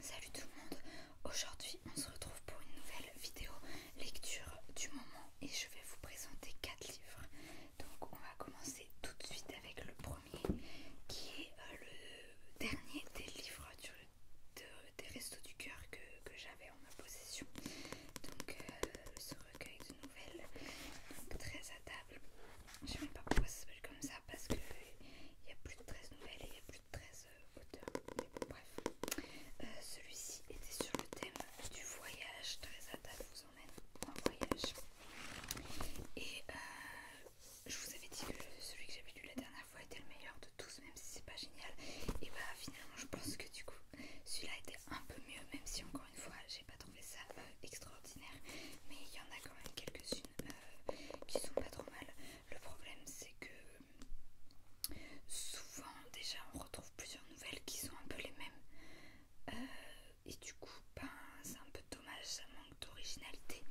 Salut tout le monde, aujourd'hui on se retrouve pour une nouvelle vidéo lecture du moment et je vais vous présenter 4 livres. Donc on va commencer tout de suite avec le premier qui est euh, le dernier des livres des Restos du Cœur que, j'avais en ma possession. Donc euh, ce recueil de nouvelles, très à table. Je ne sais pas pourquoi ça s'appelle comme ça parce qu'il n'y a plus de 13 nouvelles et il 13 euh, mais bon, bref. Euh, celui-ci était sur le thème du voyage, très Attal vous emmène en voyage. Et euh, je vous avais dit que celui que j'avais lu la dernière fois était le meilleur de tous, même si c'est pas génial. Et bah finalement, je pense que du coup, celui-là était un peu mieux, même si encore une fois, j'ai pas trouvé ça extraordinaire. Mais il y en a quand même quelques-unes qui sont pas trop mal. Le problème c'est que souvent déjà on retrouve plusieurs nouvelles qui sont un peu les mêmes euh, et du coup ben, c'est un peu dommage, ça manque d'originalité.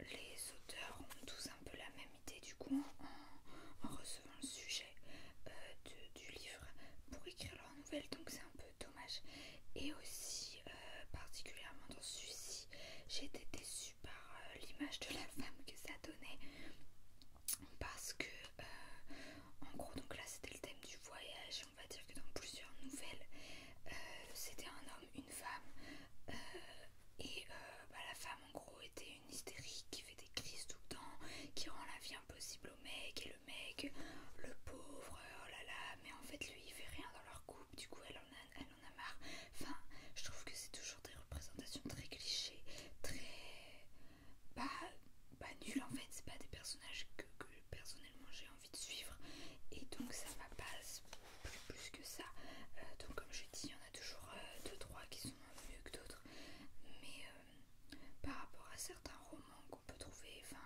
Les auteurs ont tous un peu la même idée du coup en, recevant le sujet euh, du livre pour écrire leurs nouvelles donc c'est un peu dommage et aussi euh, particulièrement dans celui-ci j'étais J'ai été déçue par euh, l'image de la femme que ça donnait. Parce que, euh, en gros, donc là c'était le thème du voyage. on va dire que dans plusieurs nouvelles, euh, c'était un homme, une femme. et bah, la femme, en gros, était une hystérique qui fait des crises tout le temps, qui rend la vie impossible au mec. Et le mec, le pauvre, oh là là, mais en fait, lui il fait rien dans leur couple. Du coup, elle en a, marre. Enfin, je trouve que c'est toujours des représentations très clichés, très. Pas nul en fait, c'est pas des personnages que, personnellement j'ai envie de suivre et donc ça m'a pas plus, que ça. Euh, donc comme je dis, il y en a toujours euh, Deux, trois qui sont mieux que d'autres, mais euh, par rapport à certains romans qu'on peut trouver, enfin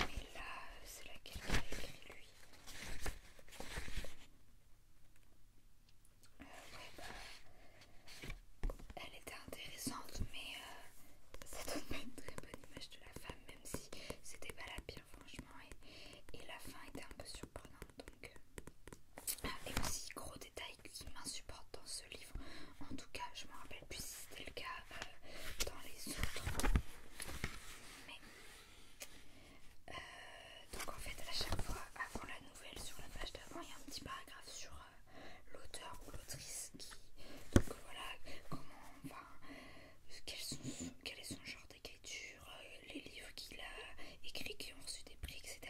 et là, c'est laquelle qu'il a écrit lui. Euh, bah, elle était intéressante, mais euh, ça donne une très bonne image de la femme, même si c'était pas la pire, franchement. Et, la fin était un peu surprenante, donc. Euh, ah, et aussi, gros détail qui m'insupporte dans ce livre, en tout cas, je me rappelle plus si c'était le cas dans les autres. Euh, donc en fait, à chaque fois, avant la nouvelle, sur la page d'avant, il y a un petit paragraphe sur euh, l'auteur ou l'autrice qui. Donc voilà, comment. Enfin, quel, est son genre d'écriture, euh, les livres qu'il a écrits qui ont reçu des prix, etc.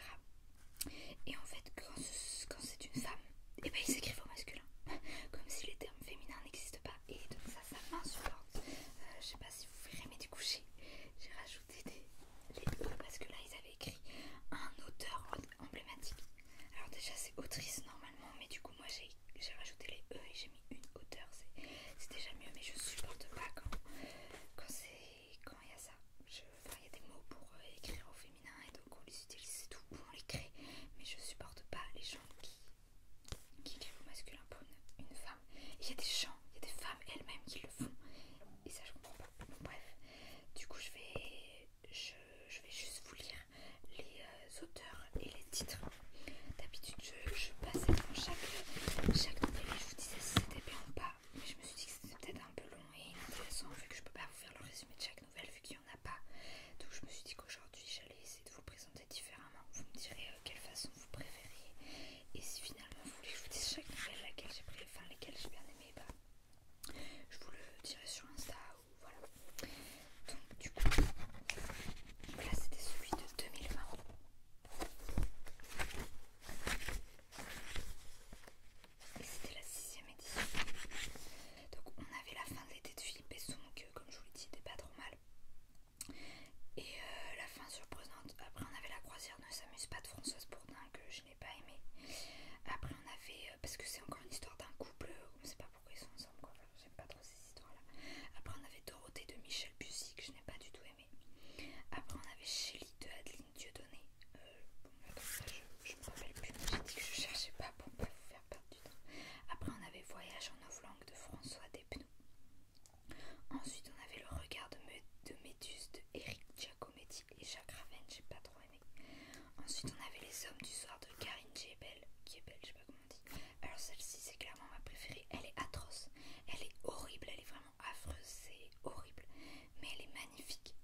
Et en fait, quand c'est une femme, et eh s'écrit ben au masculin, comme si les termes féminins n'existent pas et donc ça ça m'insupporte. Euh, je sais pas si vous verrez mais du coup j'ai rajouté des, les E parce que là ils avaient écrit un auteur emblématique. Alors déjà c'est autrice normalement mais du coup moi j'ai rajouté les E et j'ai mis une auteur. C'est déjà mieux mais je supporte pas quand quand c'est quand il y a ça. Je, il y a des mots pour euh, écrire au féminin et donc on les utilise c'est tout pour on les crée mais je supporte pas les gens qui qui vient au masculin pour une, femme. Il y a des gens, il y a des femmes elles-mêmes qui le font. Et ça, je comprends pas. bref, du coup, je vais, juste vous lire les euh, auteurs et les titres. D'habitude, je, passais dans chaque, chaque et je vous disais si c'était bien ou pas. Mais je me suis dit que c'était peut-être un peu long et inintéressant vu que je peux pas vous faire le résumé de chaque. Nouvelle vu qu'il n'y en a pas. Donc je me suis dit qu'aujourd'hui j'allais essayer de vous présenter différemment. Vous me direz euh, quelle façon vous préfériez Et si finalement vous voulez que je vous dise chaque nouvelle laquelle j'ai pris, enfin lesquelles j'ai bien aimé, bah, je vous le dirai sur Insta ou voilà. Donc du coup, là c'était celui de 2020. Et c'était la sixième édition. Donc on avait la fin de l'été de Philippe et son comme je vous l'ai dit, c'était pas trop mal. Et euh, la fin surprenante. Après, on avait la croisière ne s'amuse pas de Françoise Bourdin que je n'ai pas aimé. Après, on avait. Euh, parce que c'est encore une histoire d'un couple, on ne sait pas pourquoi ils sont ensemble, quoi. J'aime pas trop ces histoires-là. Après, on avait Dorothée de Michel Bussy que je n'ai pas du tout aimé. Après, on avait Chélie de Adeline Dieudonné. ça, euh, je, me rappelle plus. J'ai dit que je cherchais pas pour pas vous faire perdre après, on avait Voyage en off-langue de François Despnous. Ensuite, on avait Le regard de, Métus, de de Eric Giacometti et Jacques Raven, j'ai pas trop aimé. Ensuite, on avait Les Hommes du Soir de Karine Gebel, qui est belle, je sais pas comment on Alors, celle-ci, c'est clairement ma préférée. Elle est atroce, elle est horrible, elle est vraiment affreuse, c'est horrible, mais elle est magnifique.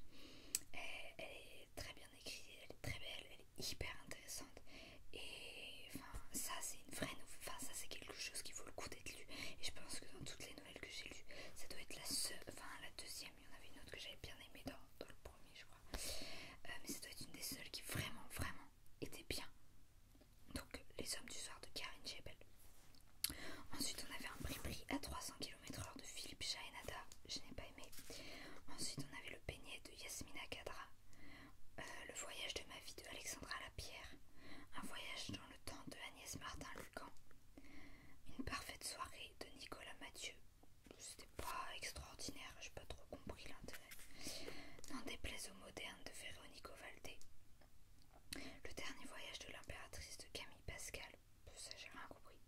elle est très bien elle est très belle, elle est hyper intéressante. Et enfin, ça c'est une vraie nouvelle, enfin ça c'est quelque chose qui vaut le coup d'être lu. Et je pense que dans toutes les nouvelles que j'ai lues, ça doit être la seule, enfin la deuxième, il y en avait une autre que j'avais bien aimée dans, le premier je crois. Euh, mais ça doit être une des seules qui vraiment, vraiment était bien. Donc Les Hommes du Soir de Karine Jebel. Ensuite on avait un prix prix à 300 km/h de Philippe Chaenada. Je n'ai pas Ensuite, on avait le Peignet de Yasmina Kadra, euh, le voyage de ma vie de Alexandra Lapierre, un voyage dans le temps de Agnès Martin-Lucan, une parfaite soirée de Nicolas Mathieu. C'était pas extraordinaire, j'ai pas trop compris l'intérêt. Dans des plaisos modernes de Véronico Valdé. Le dernier voyage de l'impératrice de Camille Pascal, ça j'ai rien compris.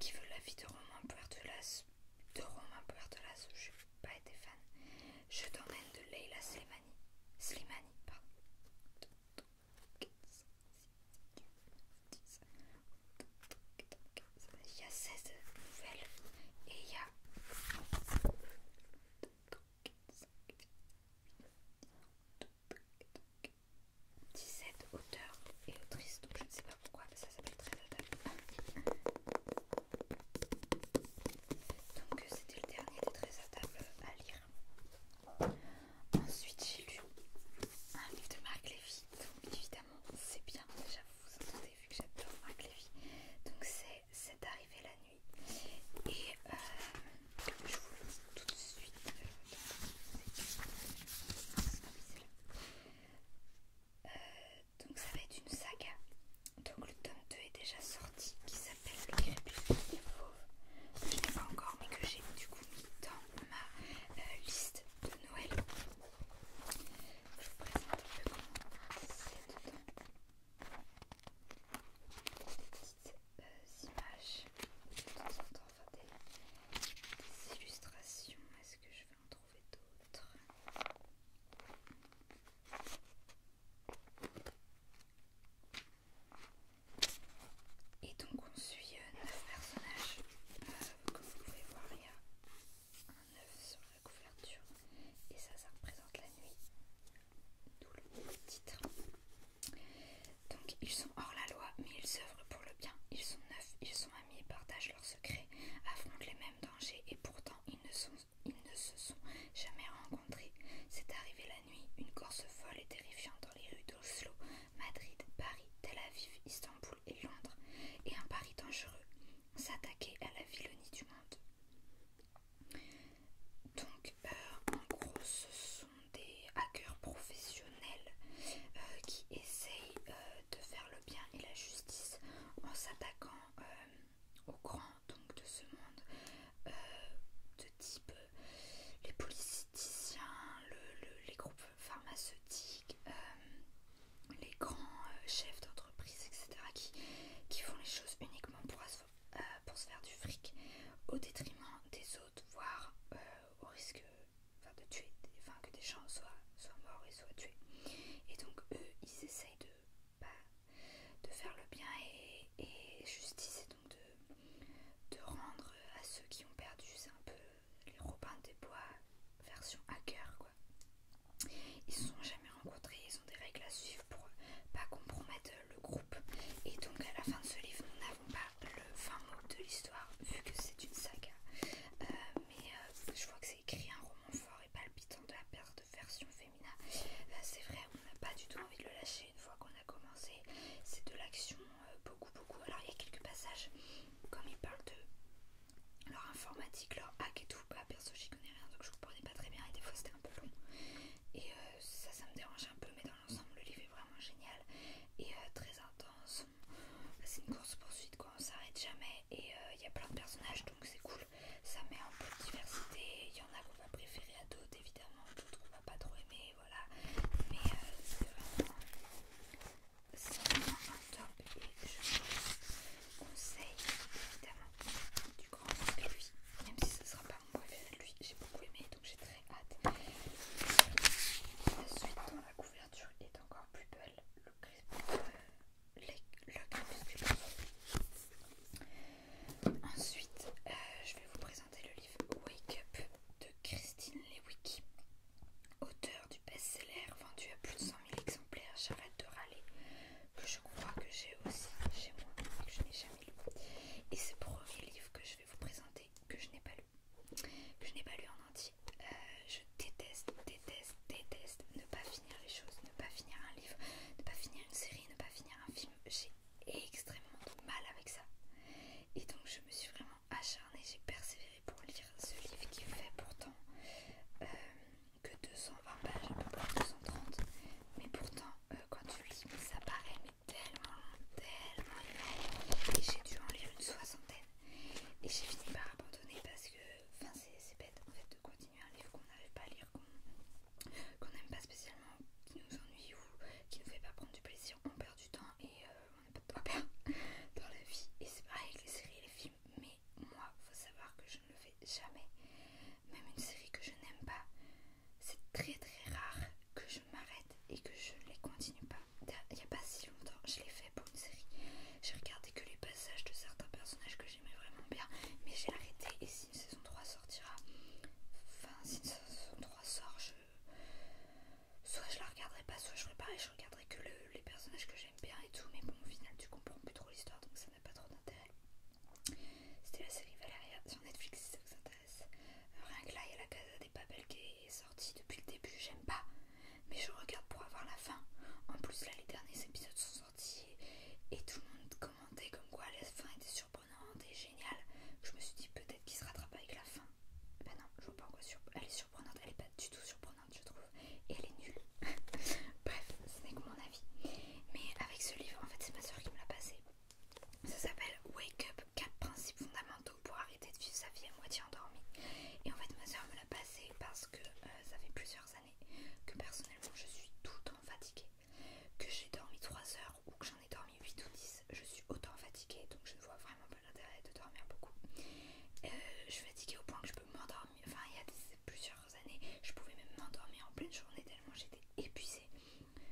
Qui veut la vie de Romain Pertulas de Rome, un peu Artelas, je n'ai pas été fan. Je t'emmène de Leila Slimani. Slimani, pardon. Il y a 16 nouvelles et il y a. 17 auteurs et autrices, donc je ne sais pas pourquoi, ça s'appelle très à Donc c'était le dernier des très à à lire. Ensuite j'ai lu un livre de Marc Lévy. Donc évidemment c'est bien, déjà vous vous entendez vu que j'adore Marc Lévy. Donc c'est C'est arrivé la nuit. Et euh, je vous le dis tout de suite. Euh, euh, donc ça va être une saga. Donc le tome 2 est déjà sorti qui s'appelle Le crépuscule des pauvres. Je je l'ai pas encore mais que j'ai du coup mis dans ma euh, liste de Noël. Je vous présente un peu comment c'est dedans. Petites euh, images, de temps en temps, enfin des, illustrations. Est-ce que je vais en d'autres. Et donc on suit 9 euh, personnages. Euh, comme vous pouvez voir, il y a un 9 sur la couverture. Et ça, ça représente la nuit. D'où le titre. Donc ils sont hors la loi, mais ils œuvrent pour le bien. Ils sont neufs, ils sont amis partagent leurs secrets, affrontent les mêmes dangers et pourtant ils ne, se sont jamais rencontrés. C'est arrivé la nuit, une course folle et terrifiante dans les rues d'Oslo, Madrid, Paris, Tel Aviv, Istanbul et Londres, et un pari dangereux, s'attaquait à la vilonie du monde. Donc, euh, en gros, ce sont des hackers professionnels euh, qui essaye euh, de faire le bien et la justice en s'attaquant euh, aux grands donc, de ce monde de type les politiciens, les groupes pharmaceutiques, les grands chefs d'entreprise, etc. Qui, font les choses uniquement pour, pour se faire du fric au détriment des autres, voire au risque euh, enfin de tuer, enfin que des gens soient, morts et soient tués. Et donc eux, ils essayent de, bah, de faire le bien et, justice, et donc de, de rendre à ceux qui ont perdu, c'est un peu les Robins des Bois version hacker quoi. Ils se sont jamais rencontrés, ils ont des règles à suivre pour pas compromettre le groupe. Et donc à la fin de ce livre, nous n'avons pas le fin mot de l'histoire vu que c'est une saga, euh, mais euh, je vois que c'est écrit un roman fort et palpitant de la perte de version féminin. c'est vrai, on n'a pas du tout envie de le lâcher une fois qu'on a commencé. C'est de l'action, euh, beaucoup, beaucoup. Alors il y a quelques passages, comme ils parlent de leur informatique, leur hack et tout. Bah, perso, j'y connais rien donc je vous comprenais pas très bien et des fois c'était un peu long. Et ça, ça me dérange un peu, mais dans l'ensemble, le livre est vraiment génial et très intense. Bah, c'est une course poursuite quoi, on s'arrête jamais et il euh, y a plein de personnages donc c'est cool. Ça met un peu de diversité, il y en a qu'on va préférer à d'autres évidemment, d'autres qu'on va pas trop aimer, voilà. Mais euh, c'est vraiment, un top et je vous conseille évidemment du grand lui, même si ce sera pas mon préféré, lui j'ai beaucoup aimé donc j'ai très hâte. suite dans la L'ouverture est encore plus belle. Le, euh, crépuscule. Ensuite, euh, je vais vous présenter le livre Wake Up de Christine Lewicki, auteur du best-seller vendu à plus de 100 000 exemplaires. J'arrête de râler, que je crois que j'ai aussi chez moi, que je n'ai jamais lu. Et c'est le premier livre que je vais vous présenter que je n'ai pas lu, que je n'ai pas lu en entier. Euh, je déteste, déteste, déteste ne pas finir les choses, ne pas finir un livre, ne pas finir une série, ne pas finir un film. J'ai extrêmement mal avec ça. Et donc je me suis vraiment acharnée, j'ai persévéré pour lire ce livre qui fait pourtant euh, que 220 pages, à peu près 230. Mais pourtant, euh, quand tu lis, ça paraît tellement tellement Et j'ai dû en lire une soixantaine et j'ai fini par abandonner parce que enfin c'est bête de continuer un livre qu'on n'arrive pas à lire, qu'on n'aime pas spécialement, qui nous ennuie ou qui ne fait pas prendre du plaisir, on perd du temps et euh, on n'a pas de temps à perdre dans la vie et c'est pareil avec les séries et les films mais moi faut savoir que je ne le fais jamais, même une série que je n'aime pas, c'est très très rare que je m'arrête et que je ne les continue pas. Il n'y a pas si longtemps, je l'ai fait pour une série. J'ai regardé que les passages de certains personnages que j'aimais vraiment bien, mais j'ai arrêté. Et si une saison 3 sortira, enfin, si une saison 3 sort, je... soit je la regarderai pas, soit je ferai Je regarderai que les personnages que j'aime bien et tout, mais bon, au final, tu comprends plus trop l'histoire donc ça n'a pas trop d'intérêt. C'était la série Valeria sur Netflix si ça vous intéresse. Rien que là, il y a la Casa des Papel qui est sortie depuis le début, j'aime pas. Mais je regarde pour avoir la fin. En plus, là, les derniers épisodes sont sortis et, tout le monde commentait comme quoi la fin était surprenante et géniale. Je me suis dit peut-être qu'il se rattrape avec la fin. Ben non, je vois pas en quoi elle est surprenante. Elle est pas du tout surprenante, je trouve. Et elle est nulle. Bref, ce n'est que mon avis. Mais avec ce livre, en fait, c'est ma soeur qui me l'a passé. Ça s'appelle Wake Up 4 principes fondamentaux pour arrêter de vivre sa vie à moitié endormie. Et en fait, ma soeur me l'a passé parce que euh, ça fait plusieurs années que personnellement je suis tout le temps fatiguée. Que j'ai dormi 3 heures ou que j'en ai dormi 8 ou 10, je suis autant fatiguée donc je ne vois vraiment pas l'intérêt de dormir beaucoup. Euh, je suis fatiguée au point que je peux m'endormir. Enfin, il y a plusieurs années, je pouvais même m'endormir en pleine journée tellement j'étais épuisée.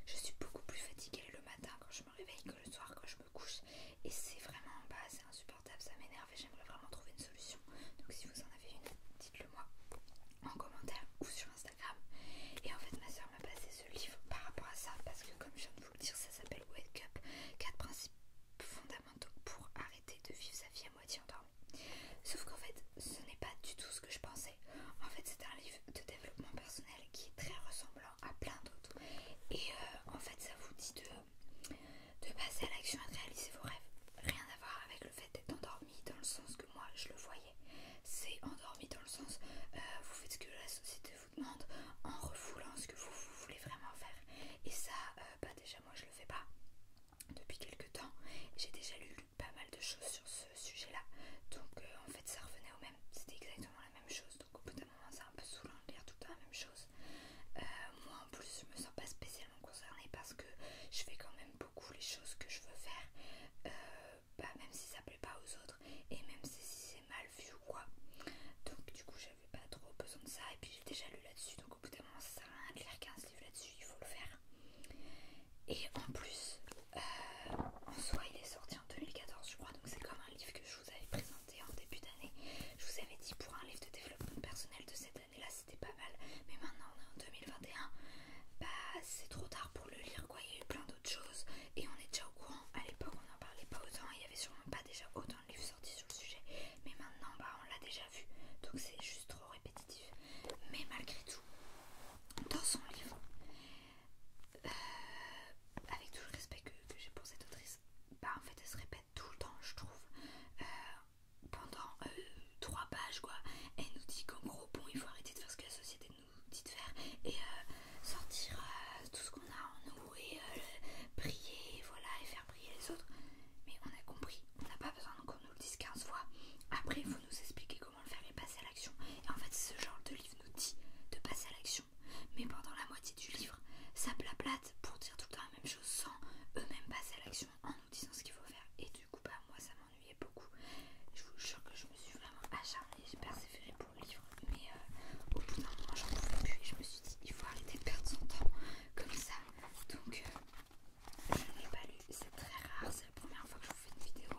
Je suis beaucoup plus fatiguée le matin quand je me réveille que le soir quand je couche et c'est vraiment pas bah, insupportable, ça m'énerve et j'aimerais vraiment trouver une solution. Donc si vous en avez une, dites-le moi en commentaire ou sur Instagram. Et en fait ma soeur m'a passé ce livre par rapport à ça parce que comme je viens de vous le dire, ça s'appelle Wake Up, 4 principes fondamentaux pour arrêter de vivre sa vie à moitié endormie. Sauf qu'en fait, ce n'est pas du tout ce que je pensais. En fait, c'est un livre de développement personnel qui est très ressemblant à plein d'autres. Et euh, en fait, ça vous dit de, de passer à l'action et de réaliser vos rêves. Rien à voir avec le fait d'être endormi dans le sens que moi je le voyais. C'est endormi dans le sens euh, vous faites ce que la société vous demande en refoulant ce que vous, voulez vraiment faire. Et ça, euh, bah déjà moi je le fais pas depuis quelques temps. J'ai déjà lu pas mal de choses sur ce sujet-là. Donc en fait ça revenait au même. C'était exactement la même chose. Donc au bout c'est un peu saoulant de lire tout le temps la même chose. Euh, moi en plus je me sens pas spécialement concernée parce que je fais quand même beaucoup les choses que je veux faire, euh, bah, même si ça plaît pas aux autres et même si c'est mal vu ou quoi. Donc du coup j'avais pas trop besoin de ça et puis j'ai déjà lu là-dessus donc au bout d'un moment ça sert à rien de lire 15 livres là-dessus, il faut le faire. Et en plus euh, en soi, il est sorti en 2014, je crois, donc c'est comme un livre que je vous avais présenté en début d'année. Je vous avais dit pour un livre de développement personnel de cette année-là, c'était pas mal, mais maintenant en 2021, bah c'est trop tard pour le lire, quoi. Il y a eu plein d'autres choses et on est déjà au courant. À l'époque, on n'en parlait pas autant, il y avait sûrement pas déjà autant de livres sortis sur le sujet, mais maintenant, bah on l'a déjà vu, donc c'est juste trop répétitif. Mais malgré tout, dans son livre, euh, avec tout le respect que, j'ai pour cette autrice, bah en fait elle se répète tout le temps, je trouve, euh, pendant euh, trois pages quoi. Elle nous dit qu'en gros, bon, il faut arrêter de faire ce que la société nous dit de faire et sortir tout ce qu'on a en nous et prier, voilà, et faire prier les autres. Mais on a compris, on n'a pas besoin qu'on nous le dise 15 fois. Après, il faut nous expliquer comment le faire et passer à l'action. Et en fait, ce genre de livre nous dit de passer à l'action. Mais pendant la moitié du livre, ça plat-plate pour dire tout le temps la même chose sans eux-mêmes passer à l'action en nous disant ce qu'il faut faire. Et du coup, bah, moi, ça m'ennuyait beaucoup. Je vous jure que je me suis vraiment acharnée, j'ai persévéré pour le livre. Mais euh, au bout d'un moment, j'en pouvais plus et je me suis dit, il faut arrêter de perdre son temps comme ça. Donc, euh, je ne pas lu. C'est très rare, c'est la première fois que je vous fais une vidéo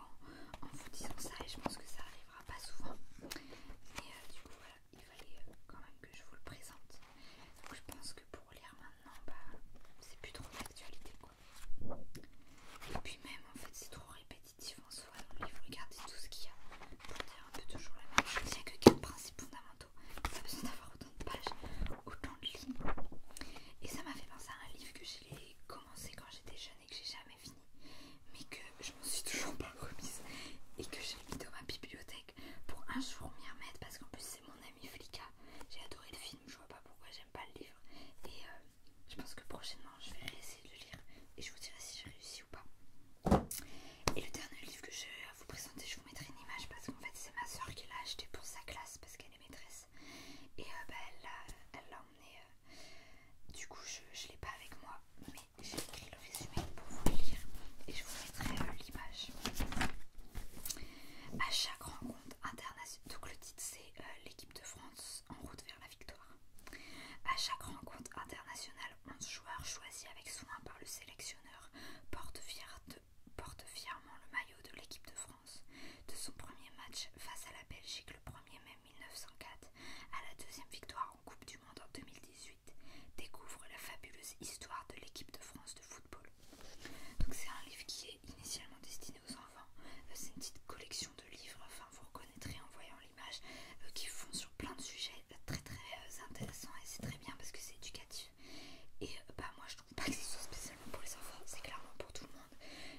en vous disant ça et je pense que ça arrive pas souvent. Mais euh, du coup, voilà, il fallait euh, quand même que je vous le présente. Donc je pense que pour lire maintenant, bah, c'est plus trop d'actualité quoi. Et puis même, en fait, c'est trop répétitif en soi donc il faut Regardez tout ce qu'il y a pour dire un peu toujours la même chose. Il n'y a que 4 principes fondamentaux. Pas besoin d'avoir autant de pages, autant de lignes. Et ça m'a fait penser à un livre que j'ai commencé quand j'étais jeune que j'ai jamais fini, mais que je m'en suis toujours pas remise et que j'ai mis dans ma bibliothèque pour un jour m'y remettre parce qu'en plus c'est mon ami Flica J'ai adoré le film, je vois pas pourquoi j'aime pas le livre et euh, je pense que prochainement je vais essayer de le lire et je vous dirai si j'ai réussi ou pas. Et le dernier livre que je vais vous présenter, je vous mettrai une image parce qu'en fait c'est ma soeur qui l'a acheté pour sa classe parce qu'elle est maîtresse et euh, bah, elle l'a emmené euh, du coup, je ne l'ai pas avec moi, mais j'ai écrit le résumé pour vous le lire et je vous mettrai euh, l'image. À chaque rencontre internationale, donc le titre c'est euh, l'équipe de France en route vers la victoire. À chaque rencontre internationale, 11 joueurs choisis avec soin par le sélectionneur portent fièrement le maillot de l'équipe de France. De son premier match face à la Belgique le 1er mai 1904 à la deuxième victoire en Coupe du Monde en 2018, découvre la fabuleuse histoire de l'équipe de France de football. Donc c'est un livre qui est initialement destiné aux enfants. Euh, c'est une petite collection de livres, enfin vous reconnaîtrez en voyant l'image, euh, qui font sur plein de sujets euh, très très intéressants et c'est très bien parce que c'est éducatif. Et bah moi je trouve pas que ce soit spécialement pour les enfants, c'est clairement pour tout le monde.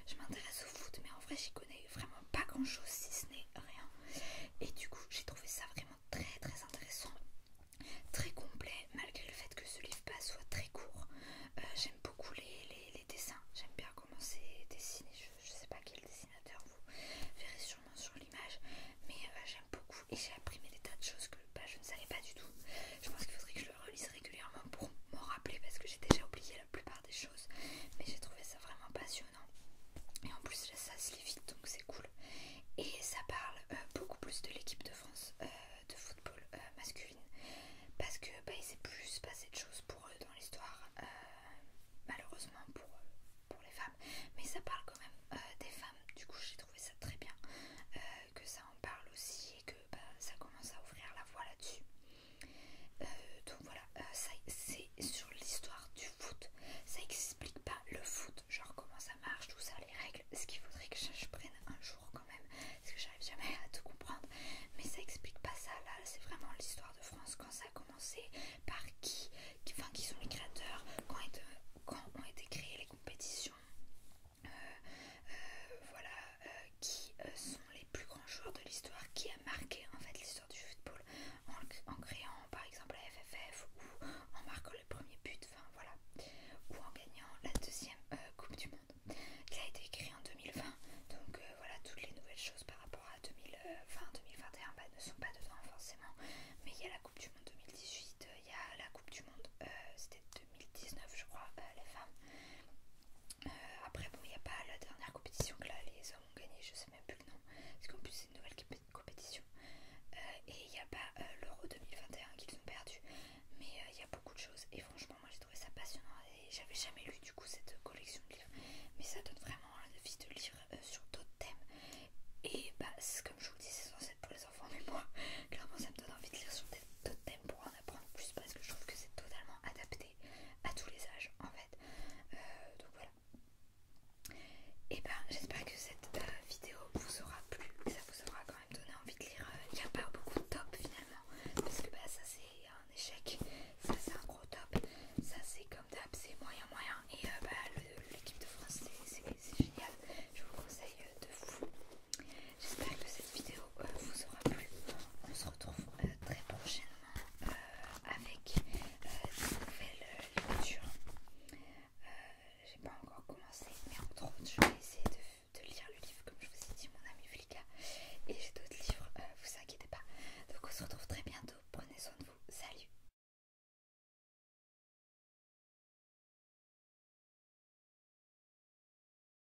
Je m'intéresse au foot, mais en vrai, j'y connais vraiment pas grand chose si ce n'est rien. Et du coup, j'ai trouvé ça vraiment très très intéressant, très complet, malgré le fait que ce livre pas soit très court. Euh, j'aime beaucoup les, dessins, j'aime bien comment c'est dessiné. Je, sais pas quel dessinateur vous verrez sûrement sur l'image, mais euh, j'aime beaucoup et j'ai appris des tas de choses que bah, je ne savais pas du tout. Je pense qu'il faudrait que je le relise régulièrement pour m'en rappeler parce que j'ai déjà oublié la plupart des choses, mais j'ai trouvé ça vraiment passionnant. Et en plus, ça se lit vite, donc c'est cool. Et ça parle euh, beaucoup plus de l'équipe de France euh, de football euh, masculine, parce que bah, il s'est plus passé de choses pour eux dans l'histoire, malheureusement pour, pour les femmes. Mais ça parle quand même des femmes, du coup, j'ai trouvé ça très bien que ça en parle aussi et que bah, ça commence à ouvrir la voie là-dessus. Euh, donc voilà, euh, c'est sur l'histoire du foot. Ça n'explique pas le foot, genre comment ça marche, tout ça, les règles. Ce qu'il faudrait que je, prenne un jour quand même, parce que j'arrive jamais à tout comprendre. Mais ça n'explique pas ça là. C'est vraiment l'histoire de France quand ça a commencé, par qui, enfin qui sont les créateurs, quand, euh, ont été créées les compétitions. voilà, qui euh, sont les plus grands joueurs de l'histoire, qui a marqué en fait l'histoire du football en, créant par exemple la FFF ou en marquant le premier but, enfin voilà, ou en gagnant la deuxième euh, Coupe du Monde. qui a été créée en 2020, donc euh, voilà, toutes les nouvelles choses par rapport à 2020, 2021 bah, ne sont pas dedans forcément, mais il y a la Coupe du Monde 2018, il y a la Coupe du Monde, c'était 2019 je crois, les femmes après, bon, il n'y a pas la dernière compétition que là les hommes ont gagné, je sais même plus le nom, parce qu'en plus c'est une nouvelle compétition. Euh, et il n'y a pas euh, l'Euro 2021 qu'ils ont perdu, mais euh, il y a beaucoup de choses. Et franchement, moi j'ai trouvé ça passionnant et j'avais jamais lu du coup cette collection de livres, mais ça donne vraiment envie de lire sur d'autres thèmes. Et bah, comme je vous dis, c'est censé être pour les enfants, mais moi clairement ça me donne envie de lire sur d'autres thèmes pour en apprendre plus parce que je trouve que c'est totalement adapté à tous les âges en fait. Euh, donc voilà. Et eh ben j'espère que cette euh, vidéo vous aura plu, ça vous aura quand même donné envie de lire. Euh, il n'y a pas beaucoup de top finalement, parce que bah, ça c'est un échec, ça c'est un gros top, ça c'est comme d'hab, c'est moyen moyen. Et bah, l'équipe de France c'est génial, je vous conseille de fou. J'espère que cette vidéo euh, vous aura plu. On se retrouve euh, très prochainement euh, avec une nouvelles lectures. J'ai pas encore commencé, mais entre autres, je vais essayer de, lire le livre comme je vous ai dit, mon ami Flika. Et j'ai d'autres livres, vous inquiétez pas. Donc on se retrouve très bientôt. Prenez soin de vous. Salut